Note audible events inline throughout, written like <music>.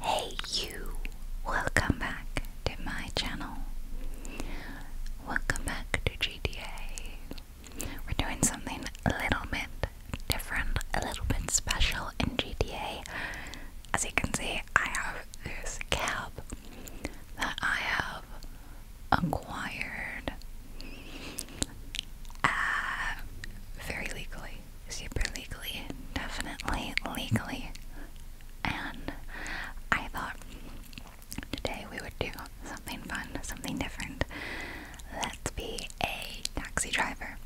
Hey you! Welcome back to my channel. Welcome back to GTA. We're doing something a little bit different, a little bit special in GDA. As you can see, I have this cap that I have acquired uh, very legally super legally, definitely legally. And I thought today we would do something fun, something different. Let's be a taxi driver.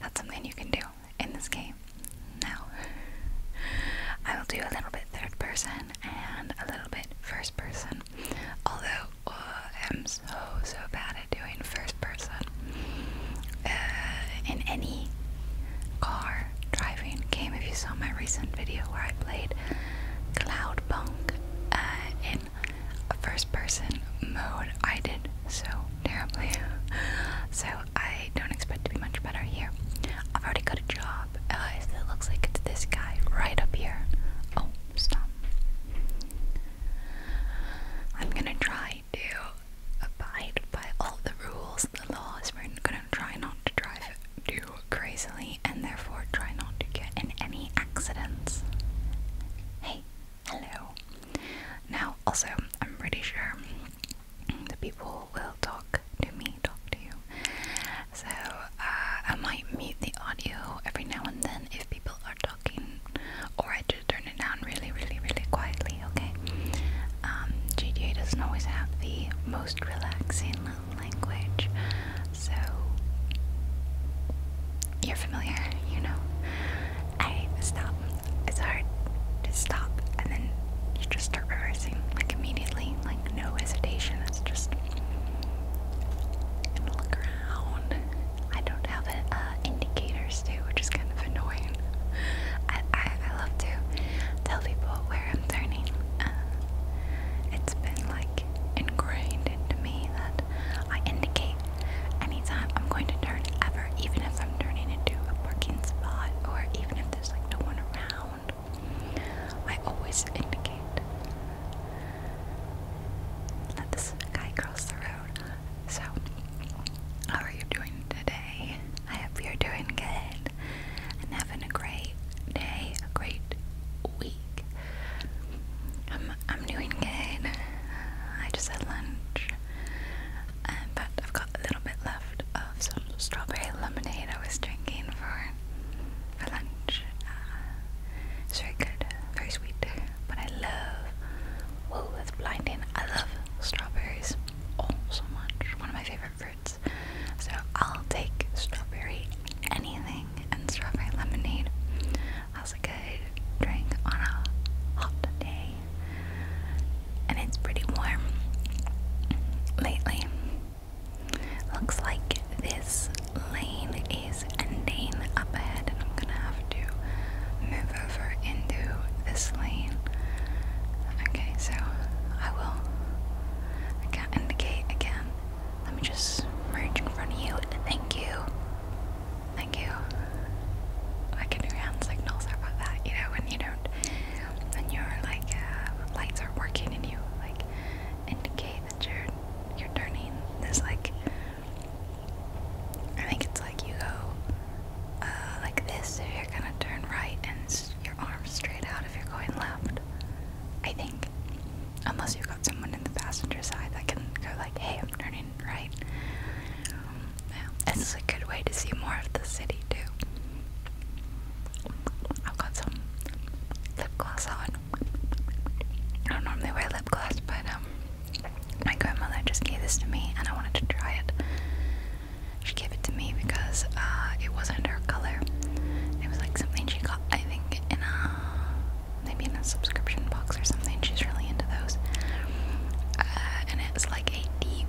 That's something you can do in this game. Now, I will do a little bit third person and a little bit first person. Although oh, I'm so, so bad to first person uh, in any car driving game. If you saw my recent video where I played Cloudpunk uh, in first person mode, I did so terribly. <laughs> so I don't expect to be much better here. I've already got a job. Uh, it looks like it's this guy right up here. Oh, stop. I'm gonna try I do abide by all the rules, the laws. We're gonna try not to drive too crazily and therefore try not to get in any accidents. Hey, hello. Now, also, I'm pretty sure the people will talk to me, talk to you. So, uh, I might mute the audio every now and then if people are talking or I just turn it down really, really, really quietly, okay? Um, GDA doesn't always have the most relaxing language, so you're familiar, you know. I stop. It's hard to stop, and then you just start reversing, like immediately, like no hesitation. It's just. i I don't have a, uh, indicators too, which is kind of annoying. I, I, love to tell people where I'm turning. Uh, it's been like ingrained into me that I indicate anytime I'm going to turn ever, even if I'm turning into a parking spot or even if there's like no one around. I always indicate that this guy crossed the road. So, how are you doing today? I hope you're doing good and having a great day, a great week. I'm, I'm doing good. I just had lunch, um, but I've got a little bit left of some strawberry lemonade I was drinking for, for lunch. Uh, it's very good, very sweet, but I love Whoa, that's blinding. I love strawberries. Oh, so much. One of my favorite fruits. So I'll take strawberry anything and strawberry lemonade. That's a good drink on a hot day. And it's pretty warm lately. Looks like this lane is ending up ahead, and I'm gonna have to move over into this lane. Okay, so I will. I can indicate again. Let me just merge in front of you. Thank you. Thank you. I can do hand signals. How that? You know, when you don't, when your like uh, lights are working, and you like indicate that you're you're turning. There's like I think it's like you go uh, like this if you're gonna turn right and your arms straight out if you're going left. I think. Unless you've got someone in the passenger side that can go like, hey, I'm turning right. Um, This is a good way to see more of the city too. I've got some lip gloss on. I don't normally wear lip gloss, but um, my grandmother just gave this to me and I wanted to try it. She gave it to me because uh, it wasn't her color. It was like something she got, I think, in a maybe in a subscription box or something. She's really into those. Uh, and it's like a deep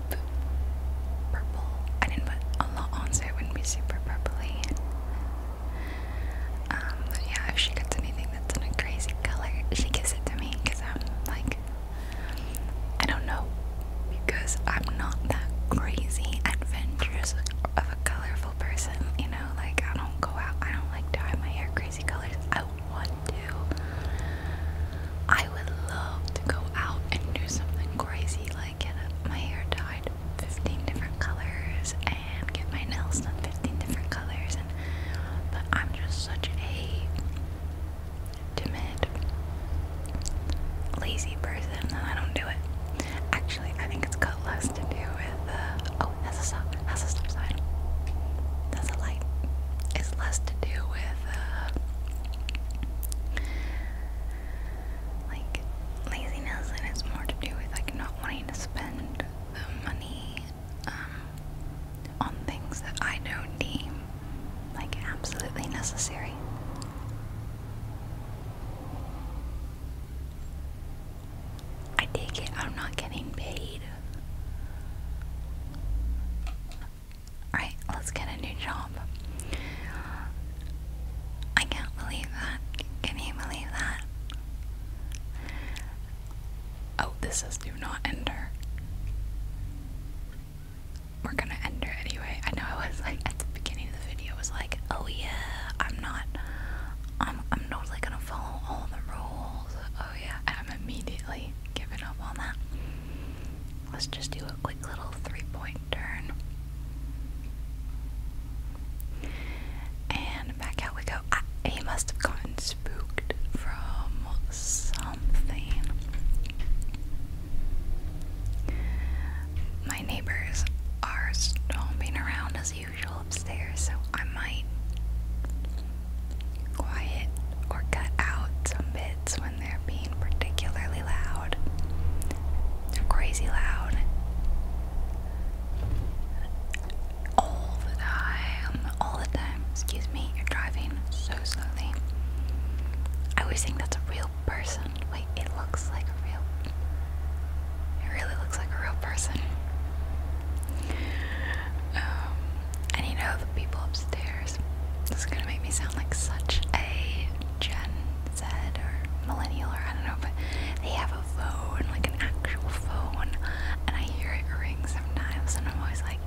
purple. I didn't put a lot on so it wouldn't be super purpley. Um, yeah, if she gets anything that's in a crazy color, she gives it to me because I'm like I don't know because I'm not that crazy adventurous of a colorful person, you know, like I don't go out, I don't like dye my hair crazy colors. I want to. I would love to go out and do something crazy like get my hair dyed 15 different colors and get my nails done 15 different colors and but I'm just such a timid, lazy person, then I don't do it. Actually, I think it's got less to do with. Uh, oh, that's a stop. That's a stop sign. That's a light. It's less to do with. Uh, like laziness and it's more to do with like not wanting to spend the money um, on things that I don't like absolutely necessary. I take it I'm not getting paid. Alright, let's get a new job. I can't believe that. Can you believe that? Oh, this says do not enter. We're gonna enter anyway. I know I was like at the beginning of the video was like, oh yeah, I'm not um, I'm I'm totally gonna follow all the rules. Oh yeah, and I'm immediately giving up on that. Let's just do a quick little three point turn. And back out we go. Ah, he must have gotten spooked from something. My neighbors are stomping around as usual upstairs, so I might quiet or cut out some bits when they're being particularly loud. They're crazy loud. All the time, all the time, excuse me, you're driving so I always think that's a real person. Wait, it looks like a real. It really looks like a real person. Um, and you know the people upstairs. This is gonna make me sound like such a Gen Z or millennial or I don't know, but they have a phone, like an actual phone, and I hear it ring sometimes, and I'm always like,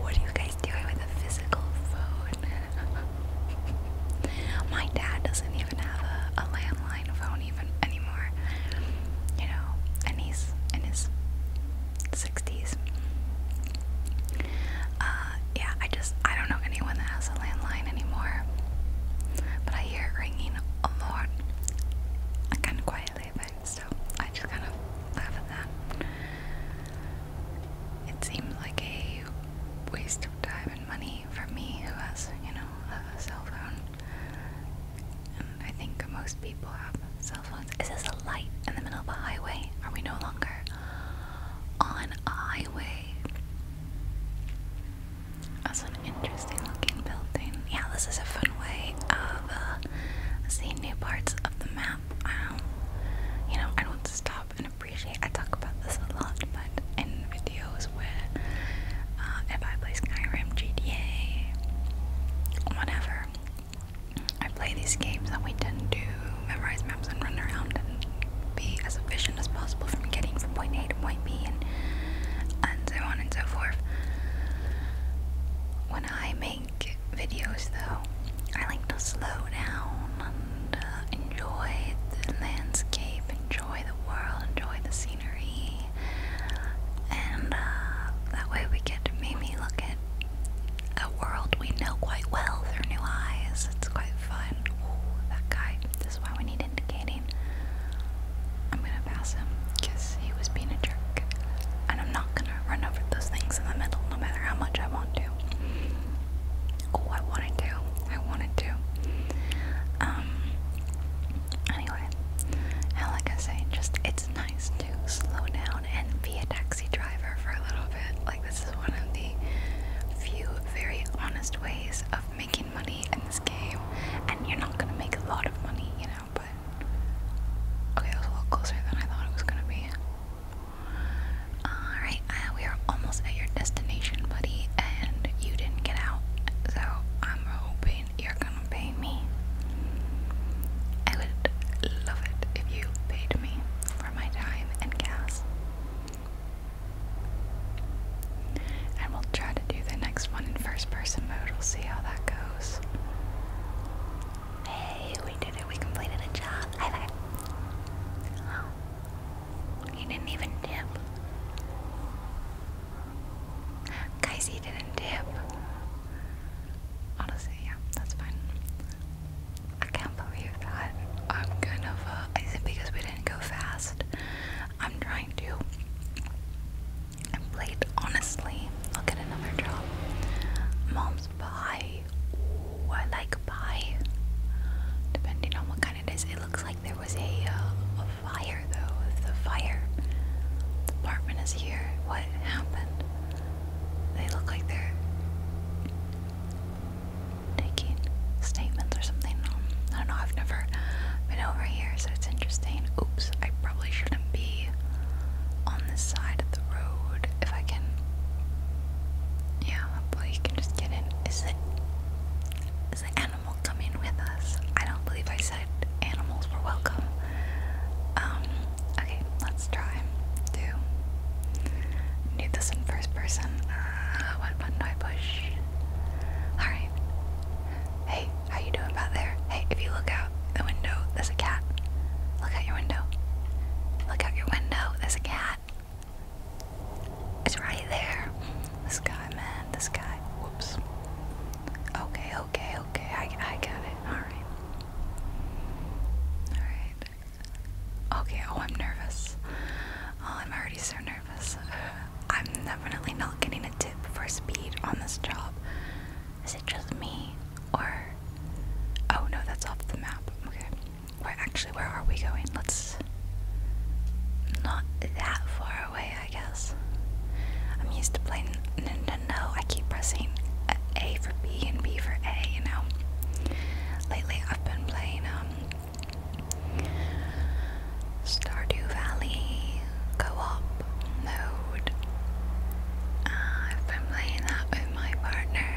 what are you guys doing with a physical phone? <laughs> My dad doesn't even have a, a landline phone even anymore. You know, and he's in his 60s. Uh, yeah, I just, I don't know anyone that has a landline anymore. But I hear it ringing a lot. kind of quiet so I just kind of laugh at that. It seems like a waste of time and money for me who has, you know, a cell phone. And I think most people have cell phones. Is this a light in the middle of a highway? Are we no longer on a highway? That's an interesting looking building. Yeah, this is a fun way of uh, see new parts of the map. you know, I don't stop and appreciate. I talk about this a lot, but in videos where uh, if I play Skyrim, GTA, whatever, I play these games that we tend to memorize maps and run around and be as efficient as possible from getting from point A to point B and so on and so forth. When I videos though. I like to slow down and uh, enjoy the landscape, enjoy the world, enjoy the scenery, and uh, that way we get to maybe look at a world we know quite well through new eyes. It's quite fun. Oh, that guy. This is why we need indicating. I'm gonna pass him he was being a jerk. And I'm not gonna run over those things in the middle, no matter how much I want to. Oh, I wanted to. I wanted to. Um. Anyway, and like I say, just it's nice to slow down and be a taxi driver for a little bit. Like this is one of the few very honest ways of making money in this game, and you're not gonna make a lot of money, you know. But Okay, that was a little closer than I thought it was gonna be. Alright, uh, we are almost at your destination, buddy, and you didn't get out, so I'm hoping you're gonna pay me. I would love it if you paid me for my time and gas. And we'll try to do the next one in first person mode. We'll see how that goes. Hey, we did it. We completed a job. He oh, didn't even dip. Guys, didn't dip. Honestly, yeah, that's fine. I can't believe that. I'm kind of, uh, is it because we didn't go fast? I'm trying to I played honestly. I'll get another job. Mom's pie. Ooh, I like pie. Depending on what kind it is, it looks like there was a, uh, a fire though. The fire The apartment is here. What happened? They look like they're taking statements or something. I don't know. I've never been over here, so it's interesting. Oops, probably shouldn't be on this side of the road if I can. Yeah, hopefully you can just get in. Is it. Is the animal coming with us? I don't believe I said animals were welcome. Um, okay, let's try to do this in first person. Uh, what button do I push? Alright. Hey, how you doing back there? Hey, if you look out the window, there's a cat. Look out your window. Look out your window, there's a cat. It's right there. This guy, man, this guy. Whoops. Okay, okay, okay. I, I got it. Alright. Alright. Okay, oh, I'm nervous. Oh, I'm already so nervous. <sighs> I'm definitely not getting a tip for speed on this job. Is it just me? Or. Oh no, that's off the map. Okay. Where actually, where are we going? Let's. Not that far away, I guess. I'm used to playing Nintendo. I keep pressing A for B and B for A, you know? Lately, I've been playing, um, Stardew Valley co-op mode uh, I've playing that with my partner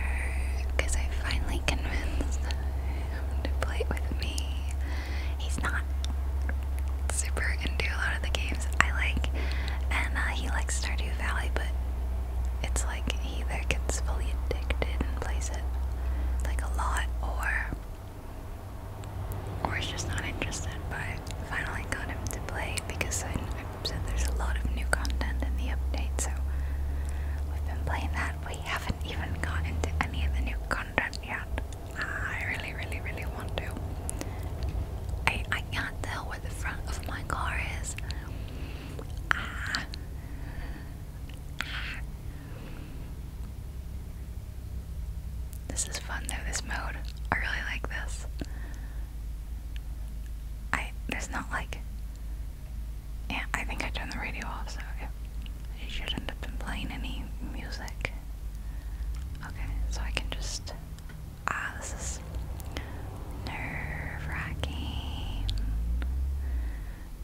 because I finally convinced him to play with me he's not super into a lot of the games I like and uh, he likes Stardew Valley but it's like he either gets fully addicted and plays it like a lot or or he's just not interested but I finally got him to play because I, said there's a lot of new content in the update, so we've been playing that. We haven't even gotten to any of the new content yet. I really, really, really want to. I I can't tell where the front of my car is. This is fun though, this mode. I really like this. I there's not like yeah, I think I turned the radio off, so it, shouldn't have been playing any music. Okay, so I can just ah, this is nerve wracking.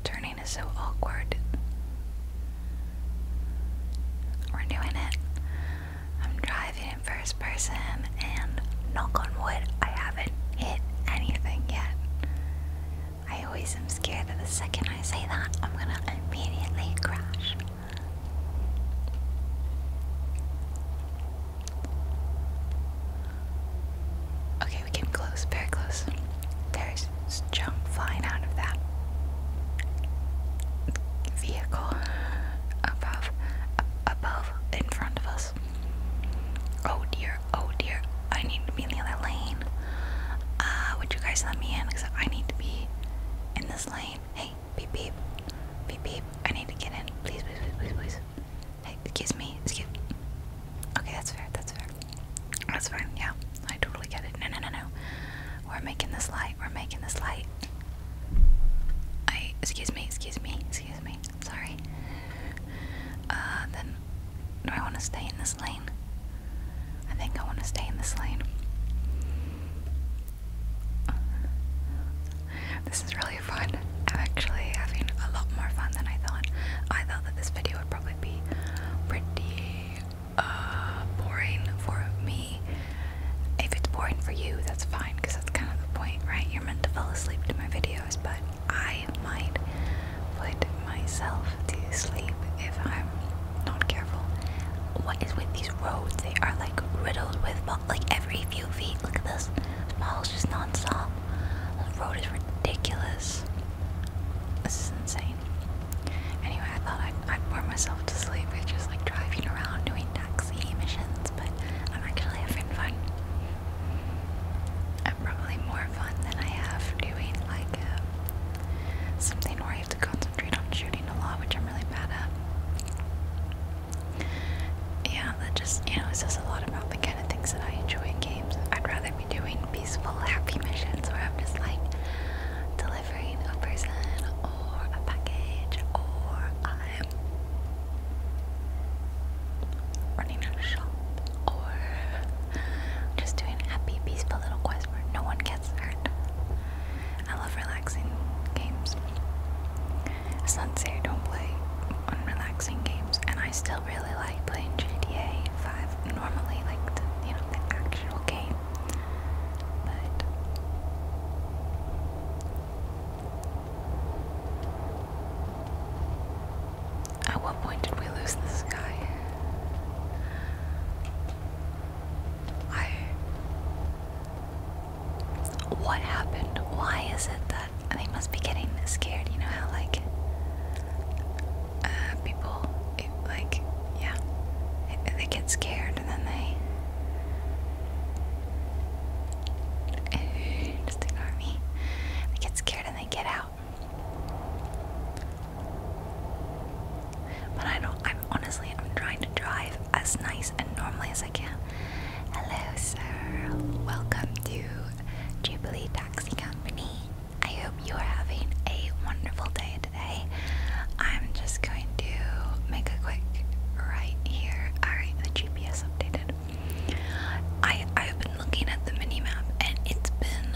Turning is so awkward. We're doing it. I'm driving in first person, and knock on wood, I haven't hit anything yet. I always am scared that the second I say that, I'm gonna immediately crash. Okay, we came close, very close. There's junk flying out of that vehicle above, above, in front of us. Oh dear, oh dear, I need to be in the other lane. Uh, would you guys let me in? Because I need to be in this lane. Hey, beep beep, beep beep, I need to get in. Please, please, please, please, please. Hey, excuse me, excuse Okay, that's fair, that's fair. That's fine, yeah, I totally get it. No, no, no, no. We're making this light. We're making this light. I excuse me, excuse me, excuse me. Sorry. Uh, then do I want to stay in this lane? I think I want to stay in this lane. This is really fun. I'm actually having a lot more fun than I thought. I thought that this video would probably be pretty uh, boring for me if it's boring for you, that's fine, because that's kind of the point, right? You're meant to fall asleep to my videos, but I might put myself to sleep if I'm not careful. What is with these roads? They are like riddled with like every few feet. Look at this. The ball's just non-stop. The road is ridiculous. This is insane. Anyway, I thought I'd I bore myself to sleep with just like driving around doing taxi missions, but I'm actually having fun. I'm probably more fun than I have doing like uh, something where you have to concentrate on shooting a lot, which I'm really bad at. Yeah, that just, you know, it says a lot about the kind of things that I enjoy in games. I'd rather be doing peaceful, happy missions where I'm just like, delivering a person or a package or i running a shop or just doing a happy, peaceful little quest where no one gets hurt. I love relaxing games. It's I don't play unrelaxing games, and I still really like playing GTA 5 normally, like the, you know, the actual game. But at what point did we lose this guy? I. What happened? Why is it that they must be getting scared? You know how, like, uh, people, like, yeah, they get scared and then they just ignore me. I get scared and they get out. But I don't. I'm honestly. I'm trying to drive as nice and normally as I can. Hello, sir. Welcome to Jubilee Taxi Company. I hope you are having a wonderful day today. I'm just going going make a quick right here. Alright, the GPS updated. I I've been looking at the mini map and it's been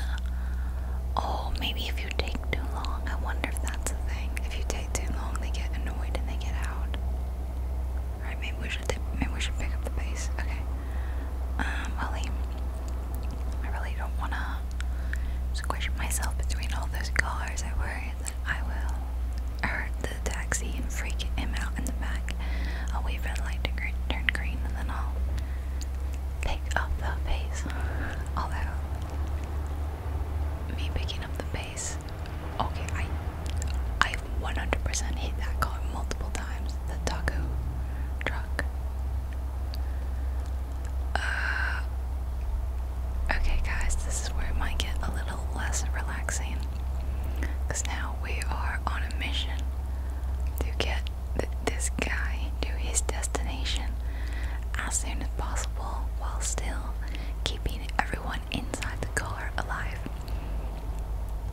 oh maybe if you take too long. I wonder if that's the thing. If you take too long they get annoyed and they get out. Alright, maybe we should maybe we should pick up the pace. Okay. Um Ollie. I really don't wanna squish myself between all those cars. I worry I will hurt the taxi and freak him out in the back. I'll wait for light to green, turn green and then I'll pick up the pace. Although, me picking up the pace, okay, I, I 100 hit that car multiple times. The taco truck. Uh, Okay, guys, this is where it might get a little less relaxing. Because now we are on a mission to get this guy to his destination as soon as possible while still keeping everyone inside the car alive.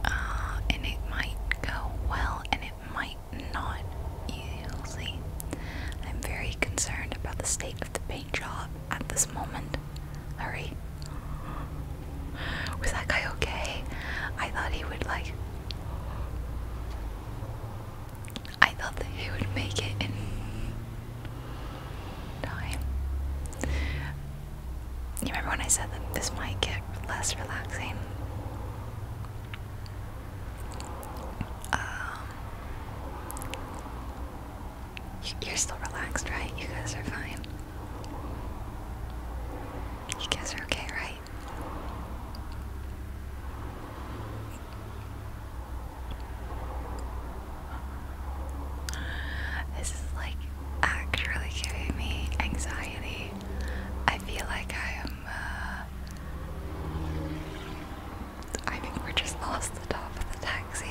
Uh, and it might go well and it might not. You'll see. I'm very concerned about the state of the paint job at this moment. Hurry. Was that guy okay? I thought he would like. I thought that he would make it in time. You remember when I said that this might get less relaxing? Um, you're still relaxed, right? You guys are fine. You guys are okay, right? This is like actually giving me anxiety. I feel like I am uh, I think we just lost the top of the taxi.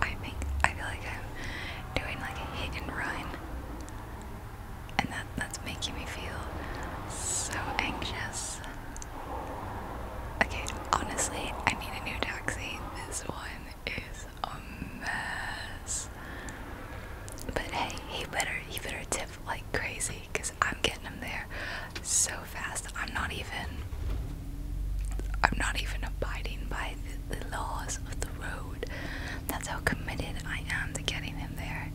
I think I feel like I'm doing like a hit and run, and that that's making me feel so anxious. Okay, honestly, I need a new taxi. This one is a mess. But hey, he better he better tip like crazy, cause I'm getting him there so fast. I'm not even I'm not even abiding by the, laws of the road. That's how committed I am to getting them there.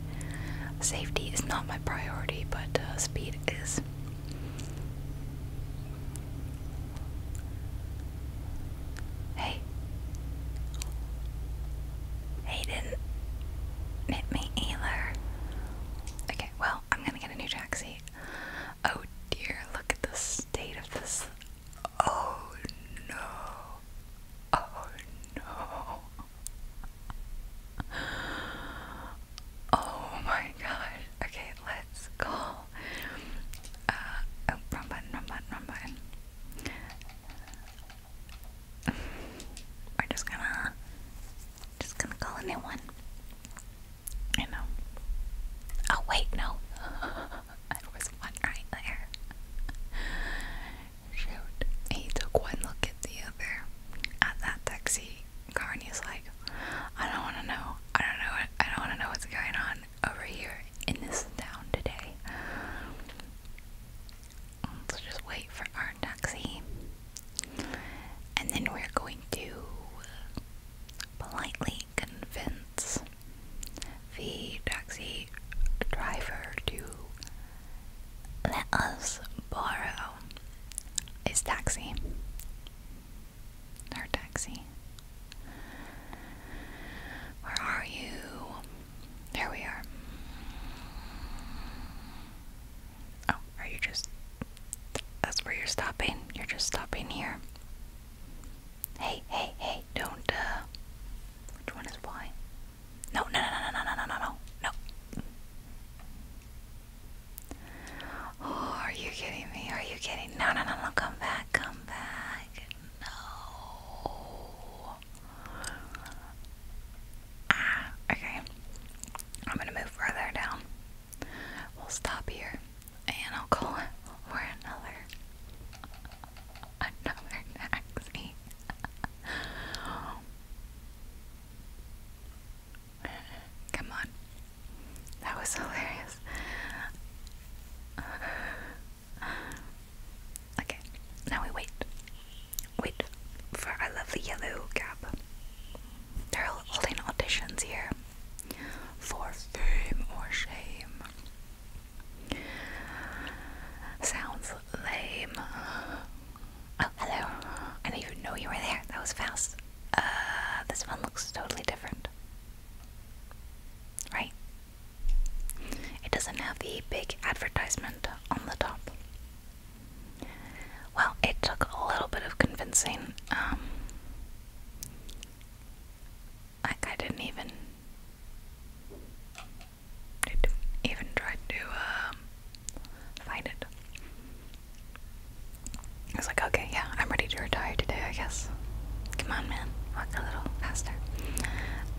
Safety is not my priority, but uh, speed is. Hey. Hey, hit me either. Okay, well, I'm gonna get a new taxi. Oh dear, look at the state of this. Oh no. Oh no. Oh my gosh. Okay, let's call. Uh, wrong button, wrong button, wrong button. We're just gonna just gonna call a new one. You know. Oh, wait, no. <laughs> I was one right there. Shoot. He took one look at the other, at that taxi car, and he's like, I don't wanna know. I don't know. I don't wanna know what's going on over here in this town today. Let's just wait for our taxi. And then we're going to politely convince the taxi driver to let us borrow his taxi. Her taxi. Where are you? There we are. Oh, are you just that's where you're stopping. You're just stopping here. Hey, hey, hey, don't, uh, which one is Y? No, no, no, no, no, no, no, no, no, no. Oh, are you kidding me? Are you kidding? No, no, no, no, come back, come back. No. Ah, okay. I'm gonna move further down. We'll stop here and I'll call for another another taxi. Come on. That was hilarious. Okay, now we wait. Wait for our lovely yellow cab. They're holding auditions here for fame or shame. Sounds lame. Oh, hello. I didn't even know you were there. That was fast. Uh, this one looks totally different. Right? It doesn't have the big advertisement on the top. Well, it took a little bit of convincing. Um, like I didn't even didn't even try to um, find it. I was like, okay, yeah, I'm ready to retire today, I guess. Come on, man, walk a little faster.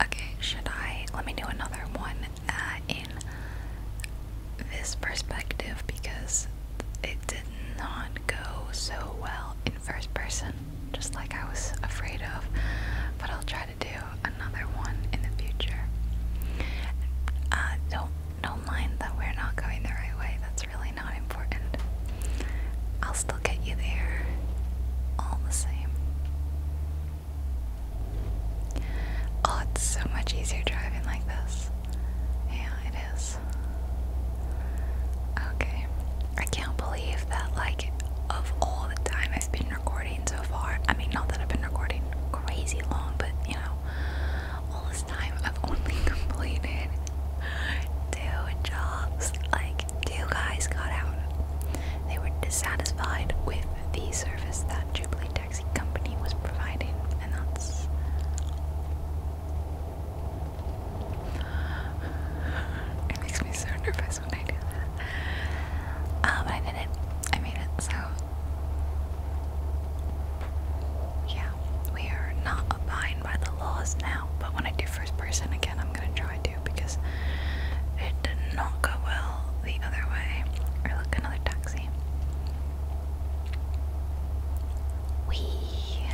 Okay, should I? Let me do another one uh, in this perspective because it did not go so well in first person, just like I was afraid of. But I'll try to do another one in the future. Uh, don't don't mind that we're not going the right way. That's really not important. I'll still get you there, all the same. Oh, it's so much easier driving like this. Yeah, is. Okay. I can't believe that, like, of all the time I've been recording so far, I mean, not that I've been recording crazy long, but you know, all this time I've <laughs> only completed two jobs. Like, two guys got out. They were dissatisfied with the service that Jubilee Taxi Company was providing, and that's it makes me so nervous when I do that. Um, I did it. I made it, so. Yeah, we are not abiding by the laws now, but when I do first person again, I'm gonna try to because it did not go well the other way. Or look, another taxi. Wee!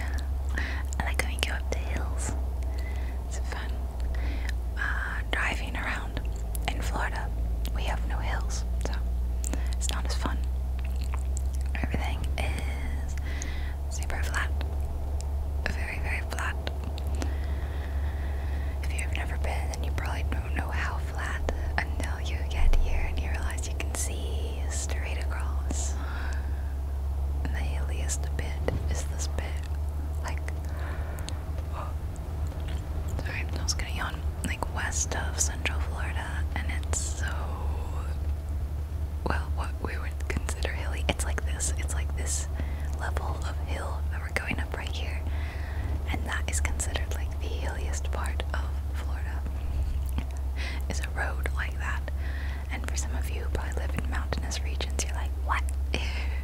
I like when we go up the hills. It's fun. Uh, driving around in Florida, we have no hills, so it's not as fun. Everything is super flat. Very, very flat. If you've never been, then you probably don't know how flat until you get here and you realize you can see straight across. the hilliest bit is this bit. Like, oh, I was gonna yawn. Like west of Central Florida, and it's so well, what we would consider hilly. It's like this. It's like this level of hill that we're going up right here, and that is considered like the hilliest part of Florida is a road like that. And for some of you who probably live in mountainous regions, you're like, what?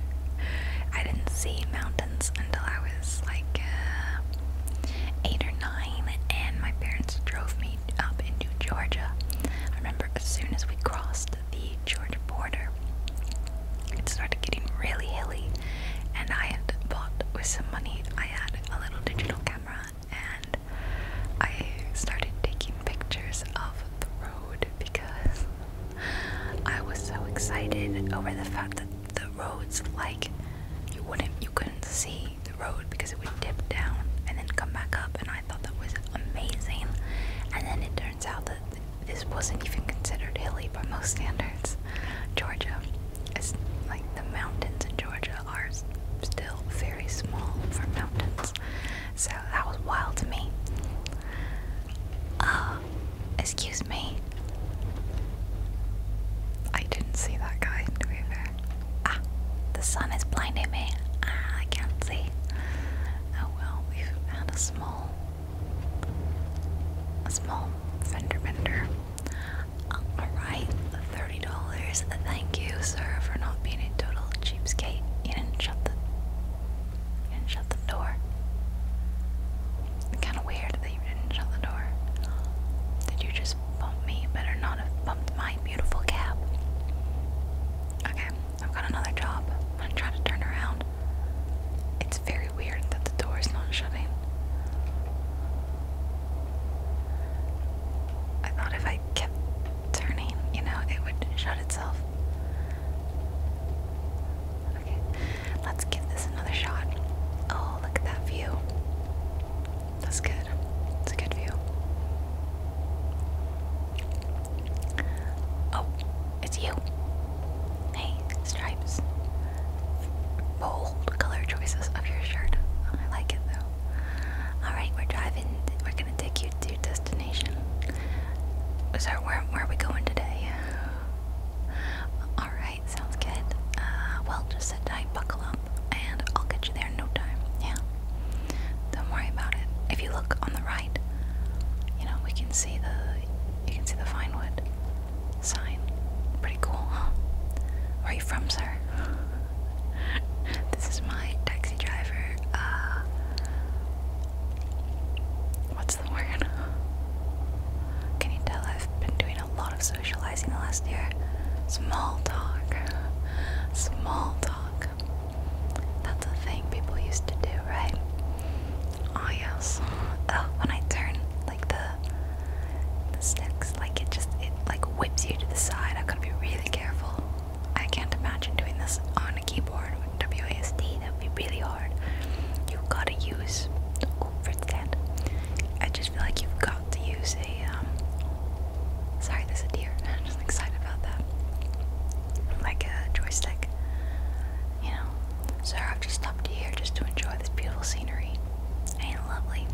<laughs> I didn't see mountains until I was like uh, eight or nine, and my parents drove me up into Georgia. I remember as soon as we crossed the Georgia border, it started getting really hilly, and I had bought with some money. I had a little digital camera and I started taking pictures of the road because I was so excited over the fact that the roads like you wouldn't you couldn't see the road because it would dip down and then come back up and I thought that was amazing and then it turns out that this wasn't even considered hilly by most standards Georgia it's like the mountains in Georgia are still very small for mountains. So that was wild to me. Uh, excuse me. I didn't see that guy, to Ah, the sun is blinding me. Ah, I can't see. Oh well, we've a small, a small fender bender. Alright, $30. Thank you, sir, for not being a total cheapskate. You didn't shut the you didn't shut the door. Kinda weird that you didn't shut the door. Did you just bump me? Better not have bumped my beautiful cab. Okay, I've got another job. I'm going to turn around. It's very weird that the door is not shutting. I thought if I kept turning, you know, it would shut itself. Okay, let's give this another shot. Oh, look at that view. That's good. It's a good view. Oh, it's you. Hey, Stripes bold color choices of your shirt. I like it though. Alright, we're driving. We're gonna take you to your destination. So, where, where are we going today? Alright, sounds good. Uh, well, just sit tight, buckle up, and I'll get you there in no time. Yeah? Don't worry about it. If you look on the right, you know, we can see the you can see the fine wood sign. Pretty cool, huh? Where are you from, sir? this is my taxi driver. Uh, what's the word? Can you tell I've been doing a lot of socializing the last year? Small talk. Small talk. That's a thing people used to do, right? Oh, yes. Oh, when I turn the sticks, like it just it like whips you to the side. i got to be really careful. I can't imagine doing this on a keyboard with WASD. That would be really hard. You've got to use. Oh, Fritz stand. I just feel like you've got to use a. Um, sorry, there's a deer. <laughs> I'm just excited about that. Like a joystick. You know. So I've just stopped here just to enjoy this beautiful scenery. Ain't lovely.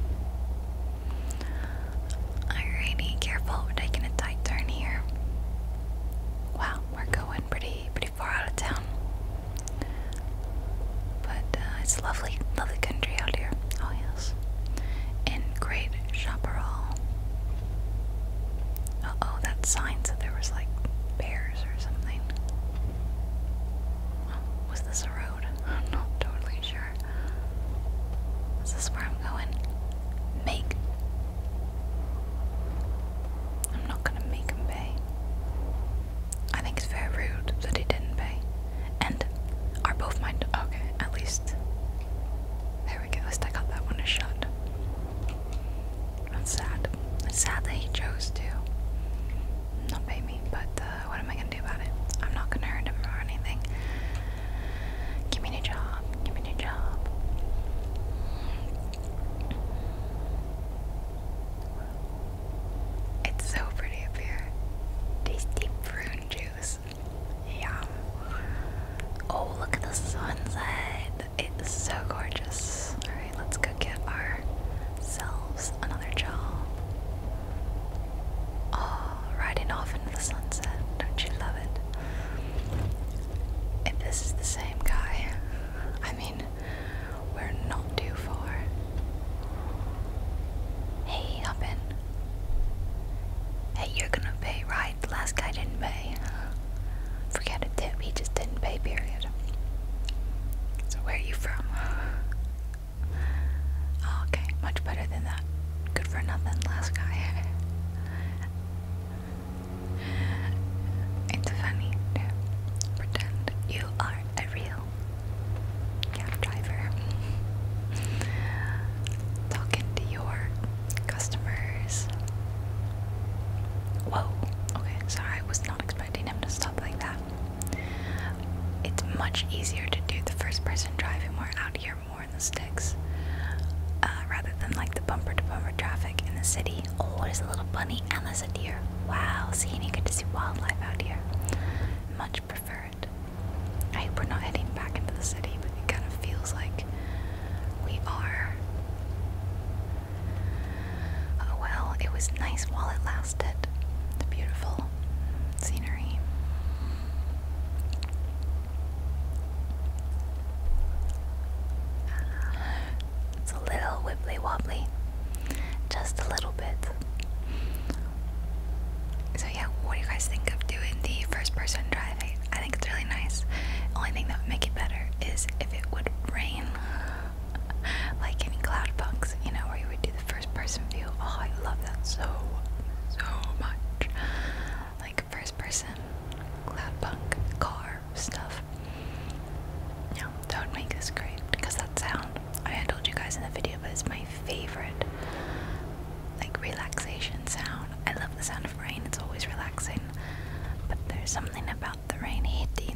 Alrighty, careful, we're taking a tight turn here. Wow, we're going pretty pretty far out of town. But uh, it's lovely, lovely country out here. Oh yes. And great chaparral. Uh oh, that sign said there was like bears or something. was this a road? I'm not totally sure. Is this where I'm going? Make. I'm not gonna make him pay. I think it's very rude that he didn't pay. And are both mine. Okay, at least. There we go. At least I got that one a That's sad. sad that he chose to not pay me, but uh, what am I gonna do about it? I'm not gonna hurt him or anything. Give me a job. Give me a job. It's so pretty up here. Tasty prune juice. Yum. Oh, look at the sunset. It's so gorgeous. Alright, let's go get ourselves another jaw. Oh, riding off into the sunset. Don't you love it? If this is the same guy, I mean, we're not too far. Hey, up in. Hey, you're gonna pay, right? The last guy didn't pay. Forget a tip, he just didn't pay, period. So, where are you from? Oh, okay, much better than that. Good for nothing, last guy. <laughs> it's funny pretend you are a real cab driver. <laughs> Talking to your customers. Whoa, okay, sorry, I was not expecting him to stop like that. It's much easier to do the first person driving more out here, more in the sticks, uh, rather than like the bumper to bumper traffic in the city. Oh, there's a little bunny and there's a deer. Wow, seeing and you get to see wildlife out here. Much prefer it. I hope we're not heading back into the city, but it kind of feels like we are. Oh well, it was nice while it lasted past beautiful scenery. It's a little wibbly wobbly, just a little bit. So, yeah, what do you guys think of doing the first person driving? I think it's really nice. Only thing that would make it better is if it would rain, <laughs> like in Cloud you know, where you would do the first first person view. Oh, I love that so, so much. Like first person, cloud punk, car stuff. Yeah, don't make this great because that sound, I, told you guys in the video, but it's my favorite like relaxation sound. I love the sound of rain, it's always relaxing, but there's something about the rain hitting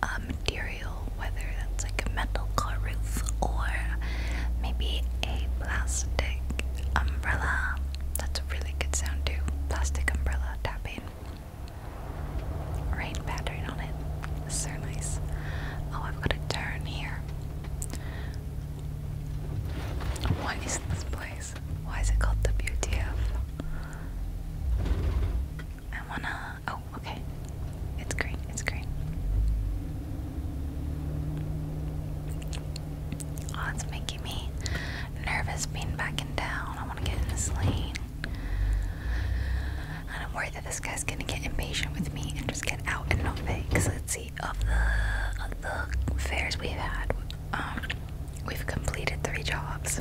the material um, whether that's like a metal car roof or maybe a plastic umbrella. That's a really good sound too. Plastic umbrella tapping. Rain pattern on it. So nice. Oh, I've got a turn here. What is this place? Why is it called the BTF? I wanna Oh, okay. It's great. It's great. Oh, it's making me nervous being back in town. I want to get in this lane. And I'm worried that this guy's gonna get impatient with me and just get out and not pay. Cause let's see, of the of the fares we've had, um, we've completed three jobs.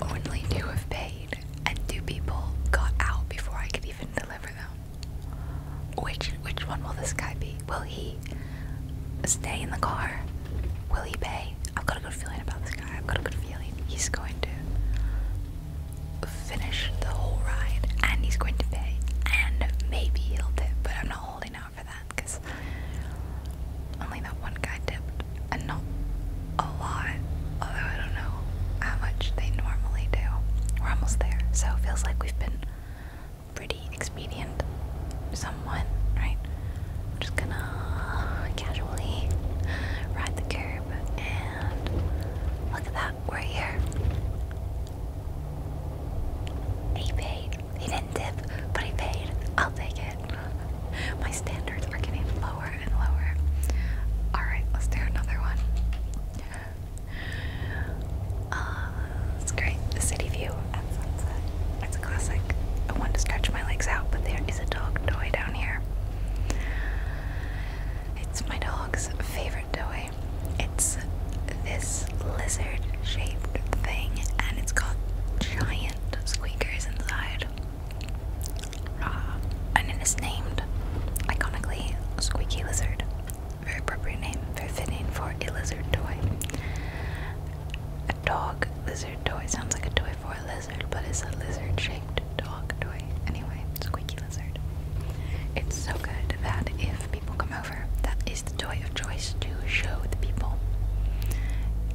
Only two have paid, and two people got out before I could even deliver them. Which which one will this guy be? Will he stay in the car? Will he pay? I've got a good feeling about this guy. I've got a good feeling he's going to finish the whole ride, and he's going to pay, and maybe he'll tip. But I'm not holding out for that because only that one guy tipped, and not a lot, although I don't know how much they normally do. We're almost there, so it feels like we've been pretty expedient, Someone, right? I'm just gonna casually ride the curb and look at that, we're here. He paid. He didn't tip, but he paid. I'll take it. My standards are getting lower and lower. Alright, let's do another one. Uh, it's great. The city view at sunset. It's a classic. I want to stretch my legs out, but there is a dog toy down here. It's my dog's favorite toy. It's this lizard shaped thing, and it's got giant squeakers inside raw, uh, and it is named, iconically, Squeaky Lizard. Very appropriate name, very fitting for a lizard toy. A dog lizard toy sounds like a toy for a lizard, but it's a lizard shaped dog toy. Anyway, Squeaky Lizard. It's so good that if people come over, that is the toy of choice to show the people.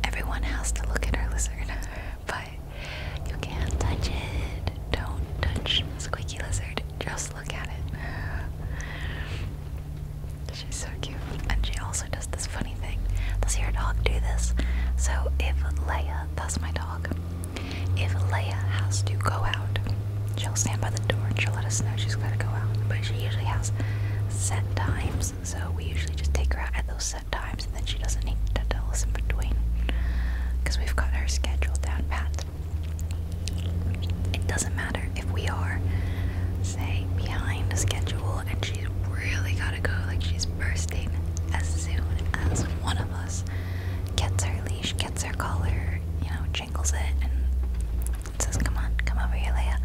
Everyone has to look at our lizard. <laughs> but you can't touch it. Don't touch Squeaky Lizard. Just look at it. She's so cute. And she also does this funny thing. Does your dog do this? So if Leia, that's my dog, if Leia has to go out, she'll stand by the door and she'll let us know she's gotta go out. But she usually has set times, so we usually just take her out at those set times and then she. She doesn't need to tell us in between because we've got our schedule down pat. It doesn't matter if we are, say, behind the schedule and she's really gotta go, like she's bursting as soon as one of us gets her leash, gets her collar, you know, jingles it, and says, Come on, come over here, Leah."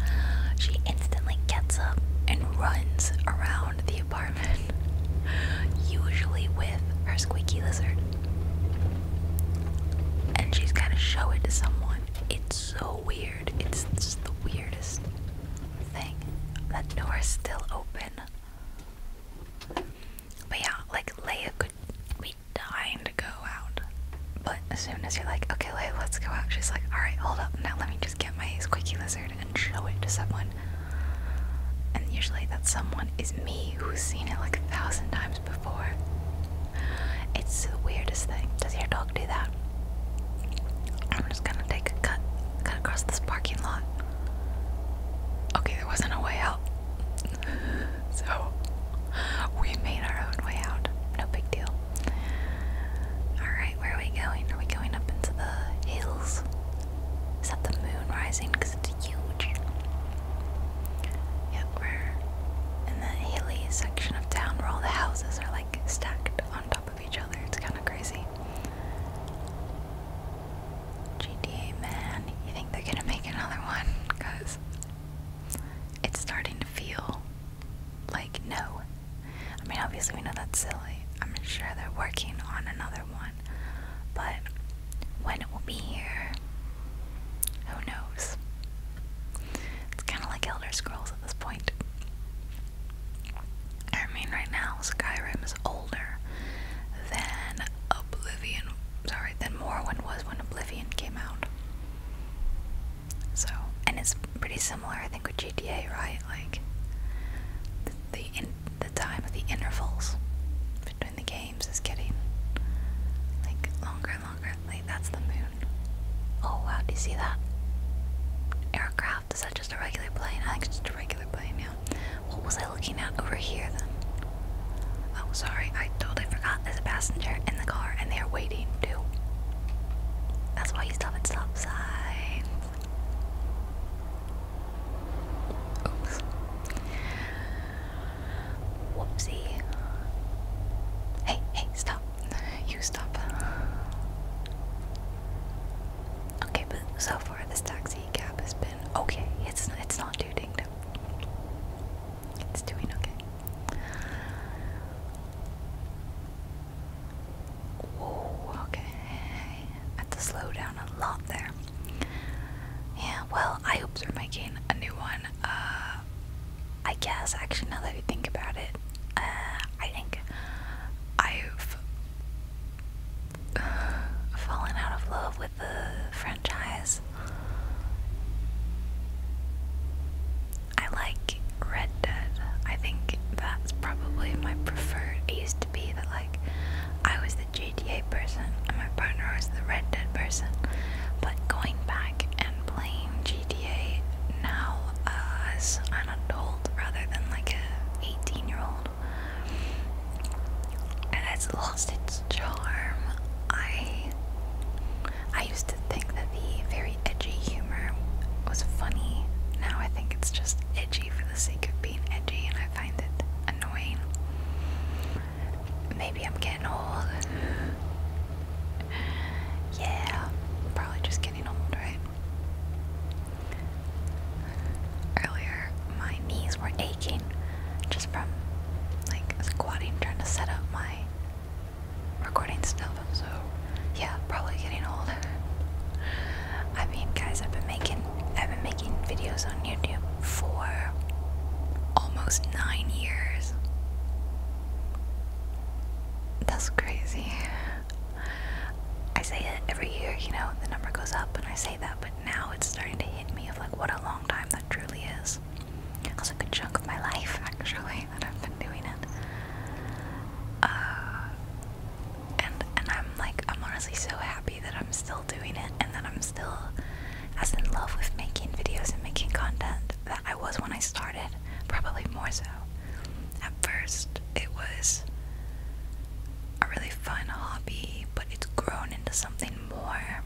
She instantly gets up and runs around the usually with her squeaky lizard. And she's got to show it to someone. It's so weird. It's just the weirdest thing. That door is still open. But yeah, like Leia could be dying to go out. But as soon as you're like, okay, Leia, let's go out, she's like, alright, hold up, now let me just get my squeaky lizard and show it to someone. And usually that someone is me who's seen it like a thousand times before. It's the weirdest thing. Does your dog do that? I'm just gonna take a cut, cut across this parking lot. Okay, there wasn't a way out. <laughs> so we made our own way out. No big deal. Alright, where are we going? Are we going up into the hills? Is that the moon rising? Because it's huge. Yep, we're in the hilly section of town where all the houses are like stacked on top of each other. It's kind of crazy. GTA, man, you think they're gonna make another one? Because it's starting to feel like no. I mean, obviously, we know that's silly. I'm sure they're working on another one. But when it will be here, who knows? It's kind of like Elder Scrolls at this point. I mean, right now Skyrim is older than Oblivion. Sorry, than Morrowind was when Oblivion came out. So, and it's pretty similar, I think, with GTA, right? Like the the, the time of the intervals in the games is getting like longer and longer. Like that's the moon. Oh wow, do you see that? Aircraft, is that just a regular plane? I think it's just a regular plane, yeah. What was I looking at over here then? Oh sorry, I totally forgot there's a passenger in the car and they're waiting too. That's why he's stop at stop signs. Oops. Whoopsie. Hey, hey, stop. You stop. Okay, but so far this taxi cab has been okay. It's it's not too dinged up. It's doing okay. Whoa, okay. I had to slow down a lot there. Yeah, well, I hope they're making a new one. Uh, I guess, actually, now that I think about it, uh, I think I've <sighs> fallen out of love with the franchise. I like Red Dead. I think that's probably my preferred. used to be that I was the GTA person and my partner was the Red Dead person. But going back and playing GTA now as an adult rather than like a 18 year old, it has lost its charm. I I used to think that the very edgy humor was funny. Now I think it's just edgy for the sake of being edgy, and I find it annoying. Maybe I'm getting old. yeah, probably just getting old, right? Earlier, my knees were aching just from like squatting, trying to set up my recording stuff. So, yeah, probably getting old. <laughs> I mean, guys, I've been making I've been making videos on YouTube for almost nine years. That's crazy. I say it every year, you know, the number goes up, and I say that, but now it's starting to hit me of like what a long time that truly is. That's a good chunk of my life, actually, <laughs> that I've been doing it. Uh, and and I'm like I'm honestly so happy that I'm still doing it and that I'm still as in love with making videos and making content that I was when I started, probably more so. At first, it was a really fun hobby, but it's grown into something more.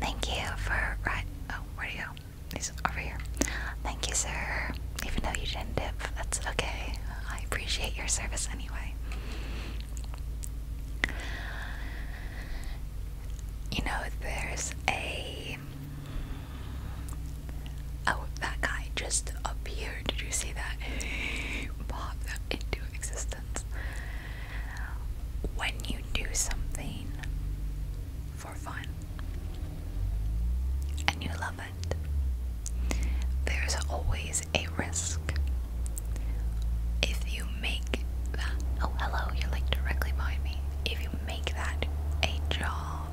Thank you for right. Oh, where do you go? He's over here. Thank you, sir. Even though you didn't dip, that's okay. I appreciate your service anyway. You know, there's a. Oh, that guy just appeared. Did you see that? Pop that into existence. When you do something for fun and you love it, there's always a risk. If you make that, oh hello, you're like directly behind me. If you make that a job,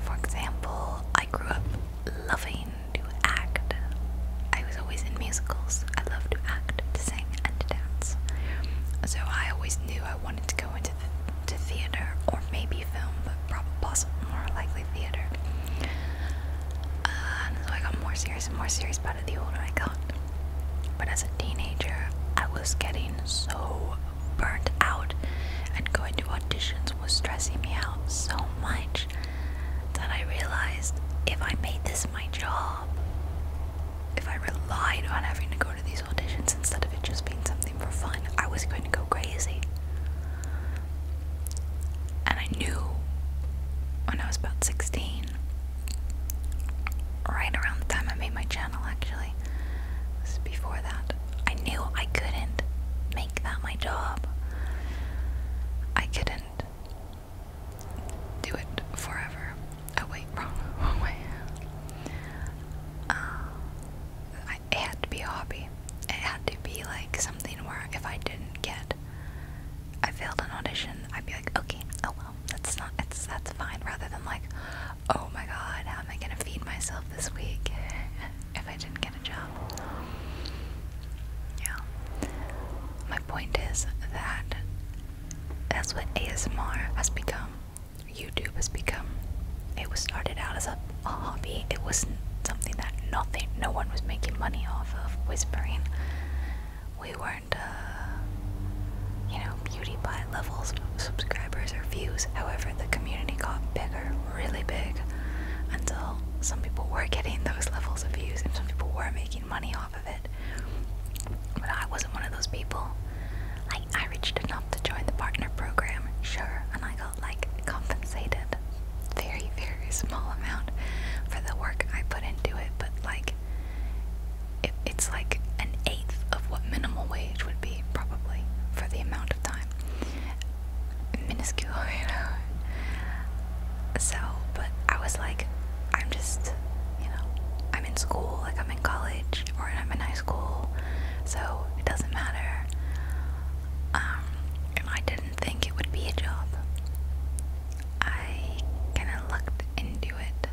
for example, I grew up loving to act. I was always in musicals. I loved to act, to sing, and to dance. So I always knew I wanted to go into the, theater or maybe film, but probably possibly more likely theater. Uh, and so I got more serious and more serious about it the older I got. But as a teenager, I was getting so burnt out, and going to auditions was stressing me out so much that I realized if I made this my job, if I relied on having to go to these auditions instead of it just being something for fun, I was going to go crazy. And I knew when I was about 16, right around the time I made my channel actually, before that, I knew I couldn't make that my job. I couldn't do it forever. Oh wait, wrong, <laughs> way. Uh, it had to be a hobby. It had to be like something where if I didn't get, I failed an audition, I'd be like, okay, oh well, that's not, it's that's fine. Rather than like, oh my god, how am I gonna feed myself this week <laughs> if I didn't get a job? Yeah. My point is that that's what ASMR has become. YouTube has become it was started out as a, hobby. It wasn't something that nothing, no one was making money off of whispering. We weren't, uh, you know, beauty pie levels subscribers or views. However, the community got bigger, really big, until some people were getting those levels of views and some people were making money off of it. But I wasn't one of those people. I, I reached enough to join the partner program, sure, and I got like compensated very, very small amount for the work I put into it, but like it's like an eighth of what minimum wage would be probably for the amount of time. Minuscule, <laughs> you know. So, but I was like, I'm just, you know, I'm in school, like I'm in college or I'm in high school, so it doesn't matter. Um, and I didn't think it would be a job. I kind of looked into it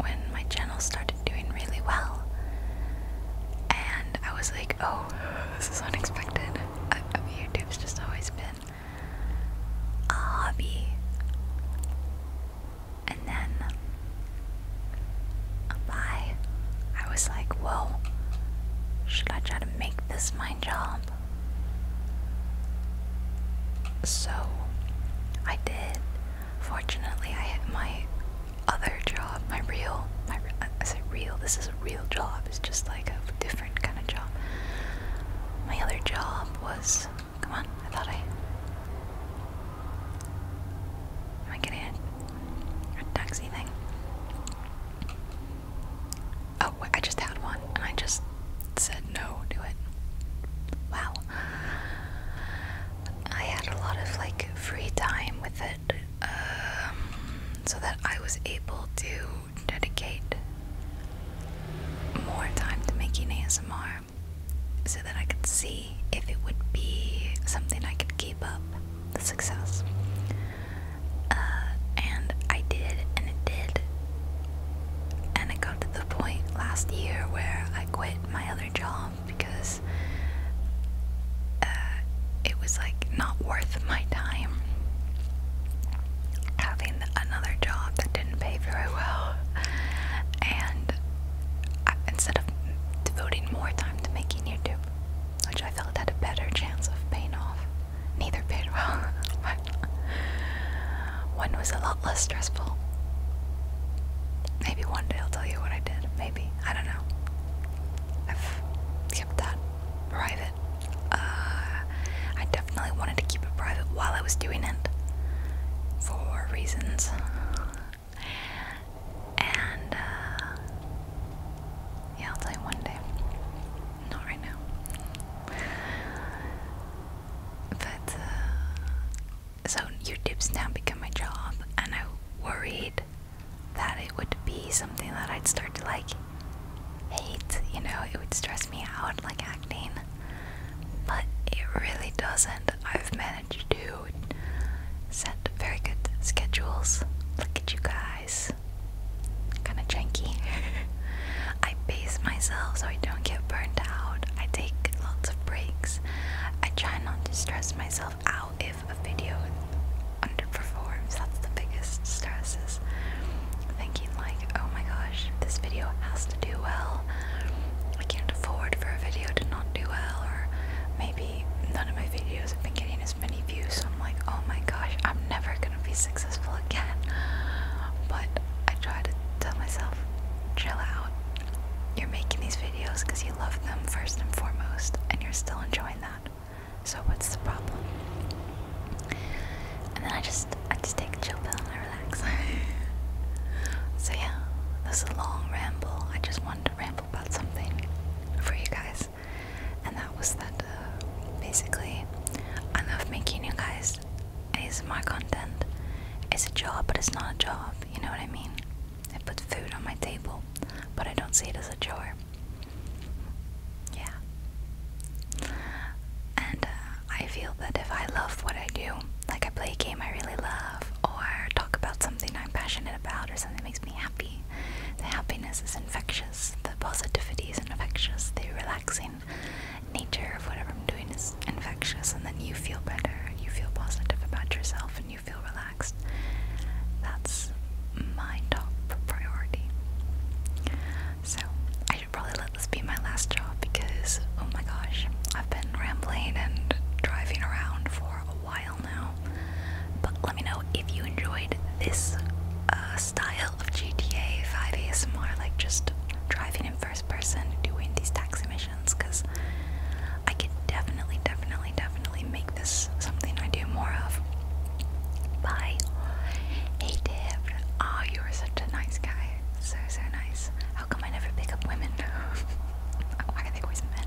when my channel started doing really well. And I was like, oh, <laughs> this is unexpected. YouTube's just always been a hobby. And then by, I was like, whoa, should I try to make this my job? So I did. Fortunately, I had my other job, my real, I said real, this is a real job, it's just like a different kind of job. My other job was, come on, I thought I, am I getting it? a taxi thing. Oh, wait, I just had one and I just said no to it. Wow. I had a lot of like free time with it um, so that I was able to dedicate more time to making ASMR so that I could see if it would be something I could keep up the success. Uh, and I did, and it did. And it got to the point last year where I quit my other job because uh, it was like not worth my time having another job that didn't pay very well. And instead of devoting more time to making YouTube, which I felt had a better chance of paying off. Neither paid well, <laughs> but one was a lot less stressful. Maybe one day I'll tell you what I did. Maybe. I don't know. I've kept that private. Uh, I definitely wanted to keep it private while I was doing it for reasons. And, uh, yeah, I'll tell you one day. Not right now. But, uh, so YouTube's now become my job, and I worried that it would be something that I'd start to like hate, you know, it would stress me out like acting. But it really doesn't. I've managed to set very good schedules. Look at you guys guys. Kinda janky. <laughs> I base myself so I don't get burnt out. I take lots of breaks. I try not to stress myself out if a video underperforms. That's the biggest stress is Thinking like, oh my gosh, this video has to do well. I can't afford for a video to not do well or maybe none of my videos have been getting a many views, so I'm like, oh my gosh, I'm never gonna be successful again. But I try to tell myself, chill out. You're making these videos because you love them first and foremost, and you're still enjoying that. So what's the problem? And then I just I just take a chill pill and I relax. <laughs> so yeah, this is a long ramble. I just wanted to ramble about something for you guys and that was that. Uh, basically, I love making you guys It's my content. It's a job, but it's not a job. You know what I mean? I put food on my table, but I don't see it as a chore. Yeah. And uh, I feel that if I love what I do, like I play a game I really love, or talk about something I'm passionate about, or something that makes me happy, the happiness is infectious, the positivity is infectious, the relaxing nature of whatever I'm doing is infectious, and then you feel better, and you feel positive about yourself, and you feel relaxed. That's my top priority. So, I should probably let this be my last job because, oh my gosh, I've been rambling and driving around for while now. But let me know if you enjoyed this uh, style of GTA 5 ASMR, like just driving in first person, doing these taxi missions, because I could definitely, definitely, definitely make this something I do more of. Bye. Hey, Dave. Oh, you are such a nice guy. So, so nice. How come I never pick up women? <laughs> Why are they always men?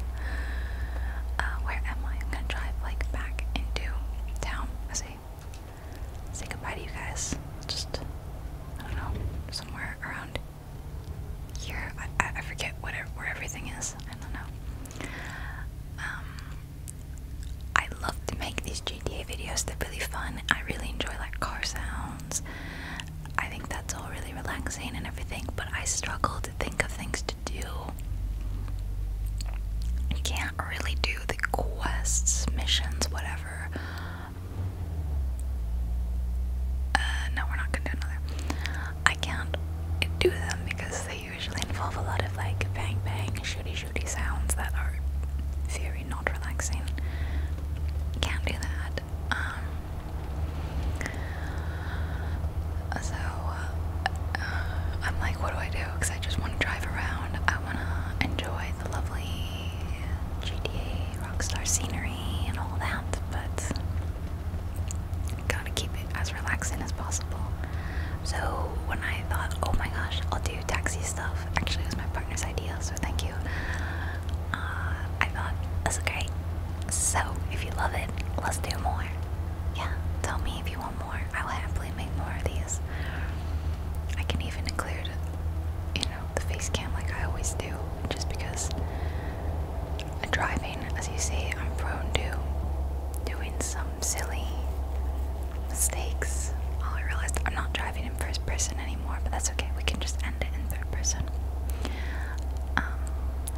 Uh, where am I? I'm gonna drive like back into town. say, say goodbye to you guys. Just I don't know, somewhere around here. I I, forget what where everything is. I don't know. Um, I love to make these GTA videos. They're really fun. I really enjoy like car sounds. I think that's all really relaxing and everything. But I struggle think of things to do. You can't really do the quests, missions, whatever. Uh, no, we're not gonna do another. I can't do them because they usually involve a lot of like bang bang, shooty shooty sounds that are very not relaxing. Can't do that. Um, so uh, I'm like, what do I do? Because I just want to drive around. I want to enjoy the lovely GTA Rockstar scenery and all that, but gotta keep it as relaxing as possible. So when I thought, oh my gosh, I'll do taxi stuff. Actually, it was my partner's idea, so thank you. Uh, I thought this great. So if you love it, let's do more. Yeah, tell me if you want more. I will happily make more of these. I can even include, you know, the face cam like I always do, just because driving, as you see, I'm prone to doing some silly mistakes. I realized I'm not driving in first person anymore, but that's okay. We can just end it in third person. Um,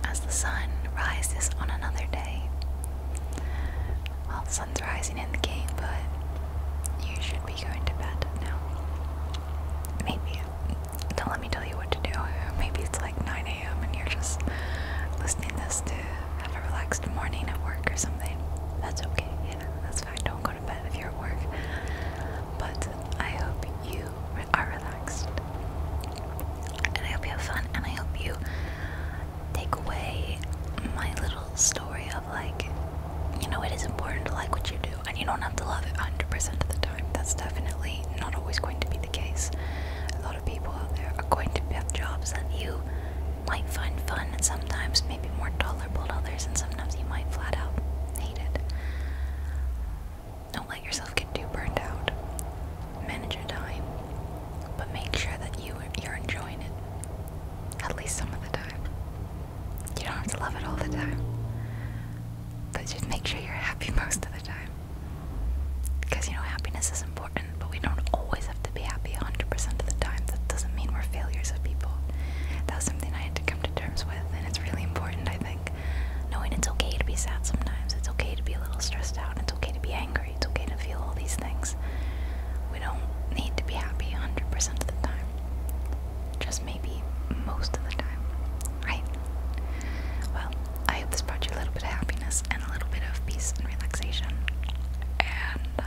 as the sun rises on another day, well, sun's rising in the game, but you should be going to bed now. Maybe. Don't let me tell you what to do. Maybe it's like 9 a.m. and you're just listening this to have a relaxed morning at work or something. That's okay. You know, that's fine. Don't go to bed if you're at work. But I hope you are relaxed and I hope you have fun, and I hope you take away my little story of like, you know, it is important to like what you do, and you don't have to love it 100% of the time. That's definitely not always going to be the case. A lot of people out there are going to have jobs that you might find fun, and sometimes maybe more tolerable to others, and sometimes you might flat out hate it. Don't let yourself get too burned out manage your time, but make sure that you you're enjoying it at least some of the time. You don't have to love it all the time, but just make sure you're happy <laughs> most of the time. Because you know happiness is important, but we don't always have to be happy 100% of the time. That doesn't mean we're failures of people. That was something I had to come to terms with, and it's really important, I think. Knowing it's okay to be sad sometimes, it's okay to be a little stressed out, it's okay to be angry. It's okay to feel all these things. We don't need to be happy 100% of the time. Just maybe most of the time, right? Well, I hope this brought you a little bit of happiness and a little bit of peace and relaxation. And uh,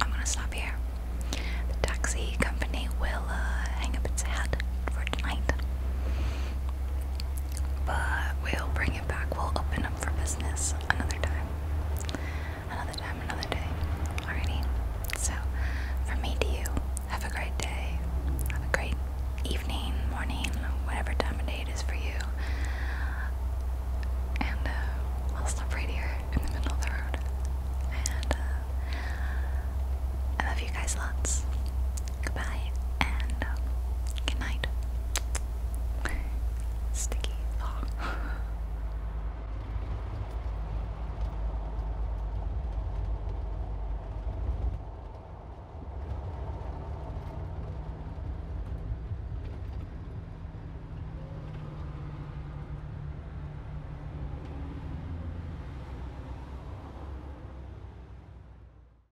I'm gonna stop here. The taxi company will uh, hang up its head for tonight but we'll bring it back. We'll open up for business another time. Another time, another day. Alrighty. So, from me to you, have a great day. Have a great evening, morning, whatever time of day it is for you. And uh, will stop right here in the middle of the road. And uh, I love you guys lots. Goodbye and um, good night.